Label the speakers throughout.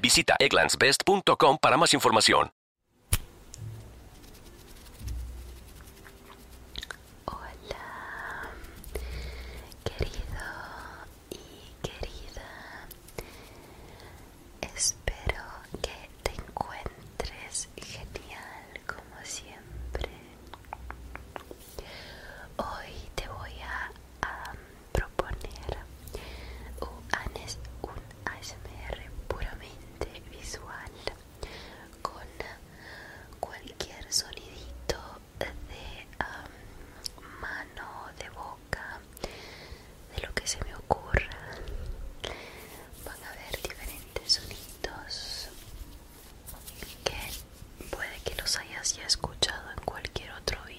Speaker 1: Visita egglandsbest.com para más información. Hola,
Speaker 2: querido y querida. Espero que te encuentres genial como siempre. Hoy te voy a proponer un ASMR puramente visual con cualquier sonidito de mano, de boca, de lo que se me ocurra. Van a haber diferentes sonidos que puede que los hayas ya escuchado en cualquier otro vídeo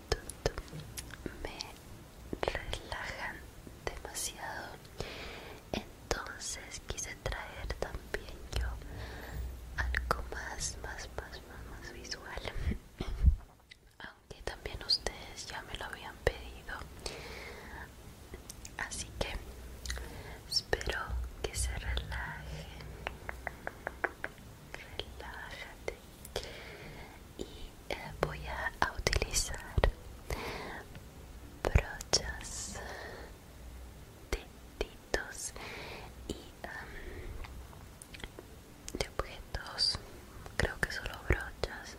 Speaker 2: me relajan demasiado entonces quise traer también yo algo más más más más, visual aunque también ustedes ya me lo habían pedido así que espero que se relajen relájate y eh, voy a utilizar brochas deditos y de objetos creo que solo brochas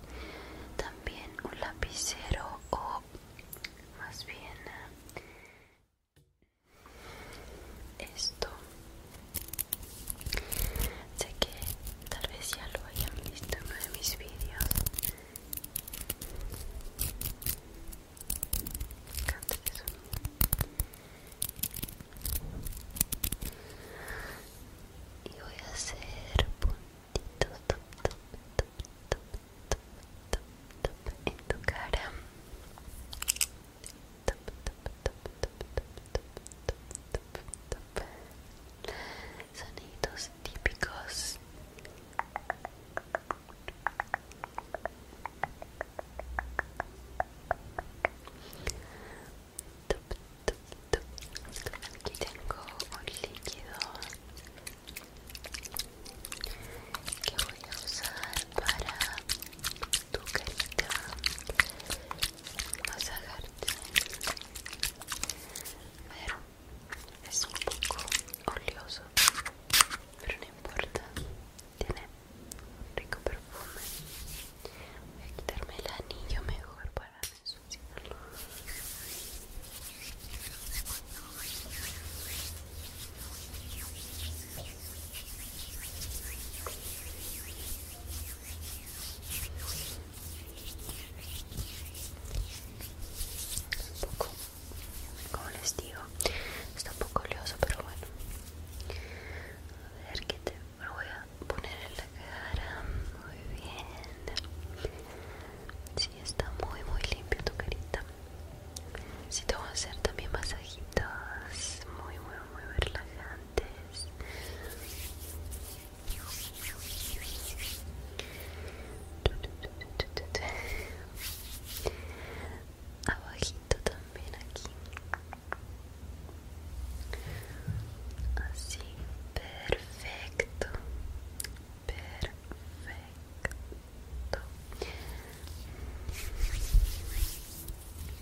Speaker 2: también un lapicero o más bien eh, esto Sé que tal vez ya lo hayan visto en uno de mis vídeos. Y voy a hacer puntitos en tu cara. sonidos típicos aquí tengo un líquido que voy a usar para tu carita masajarte. Pero es un poco oleoso, pero no importa. Tiene un rico perfume. Voy a quitarme el anillo mejor para no un poco, como les digo, está un poco oleoso, pero bueno. A ver que te voy a poner en la cara. Muy bien. Sí, está muy, muy limpio tu carita. Si sí, te voy a hacer también masajitos. Muy, muy, muy relajada abajito también aquí así perfecto perfecto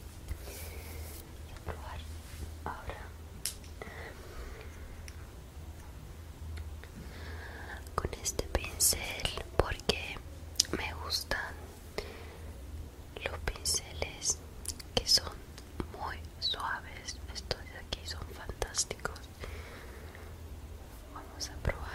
Speaker 2: a probar ahora con este pincel porque me gustan los pinceles que son muy suaves estos de aquí son fantásticos vamos a probar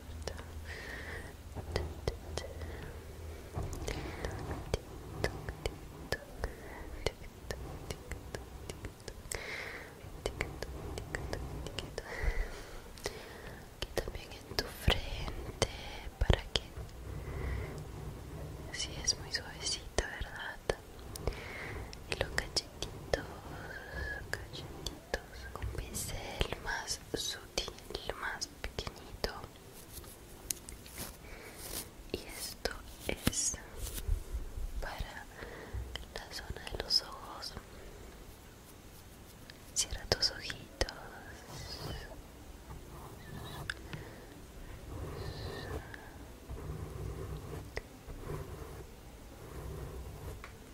Speaker 2: Aquí también en tu frente para que si sí, es muy suavecito, ¿verdad? Y los cachetitos, con un pincel más sutil más pequeñito y esto es para la zona de los ojos cierra tus ojitos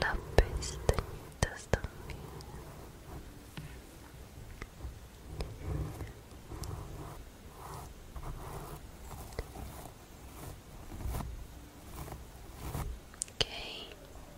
Speaker 2: las pestañitas también ok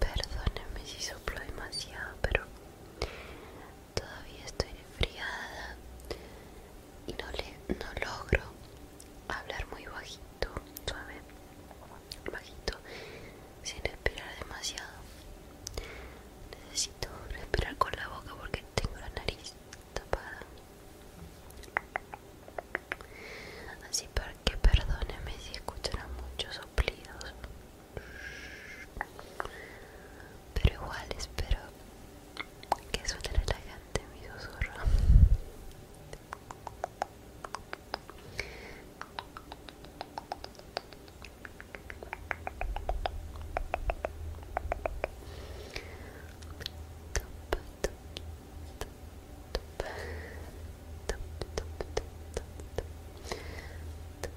Speaker 2: Perdóneme si soplo demasiado, pero todavía estoy enfriada y no, le, no logro hablar muy bajito, suave, bajito, sin respirar demasiado. Necesito respirar con la boca porque tengo la nariz tapada. Así para que perdónenme si escuchan muchos soplidos. Pero igual espero que suene elegante mi susurro.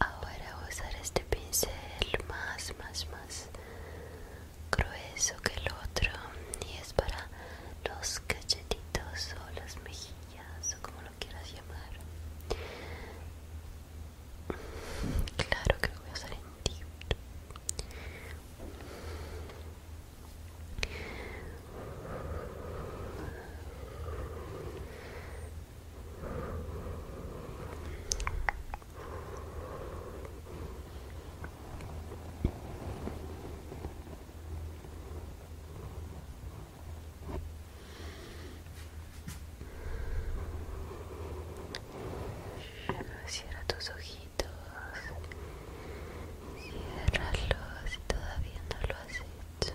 Speaker 2: Ahora voy a usar este pincel más, más, más grueso que el otro y es para los cachetitos o los mejillas ya o como lo quieras llamar claro que voy a hacer en ti Cierra tus ojitos, ciérralos si todavía no lo has hecho.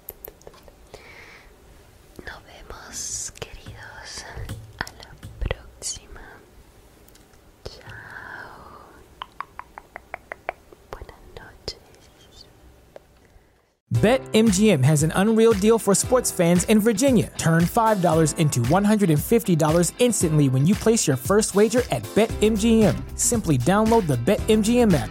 Speaker 2: Nos vemos, queridos. A la próxima.
Speaker 3: BetMGM has an unreal deal for sports fans in Virginia. Turn $5 into $150 instantly when you place your first wager at BetMGM. Simply download the BetMGM app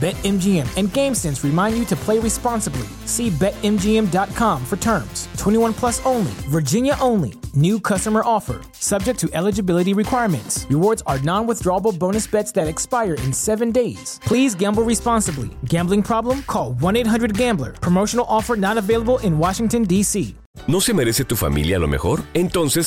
Speaker 3: BetMGM and GameSense remind you to play responsibly. See BetMGM.com for terms. 21 plus only, Virginia only. New customer offer, subject to eligibility requirements. Rewards are non withdrawable bonus bets that expire in seven days. Please gamble responsibly. Gambling problem? Call 1 800 Gambler. Promotional offer not available in Washington,
Speaker 1: D.C. ¿No se merece tu familia lo mejor? Entonces,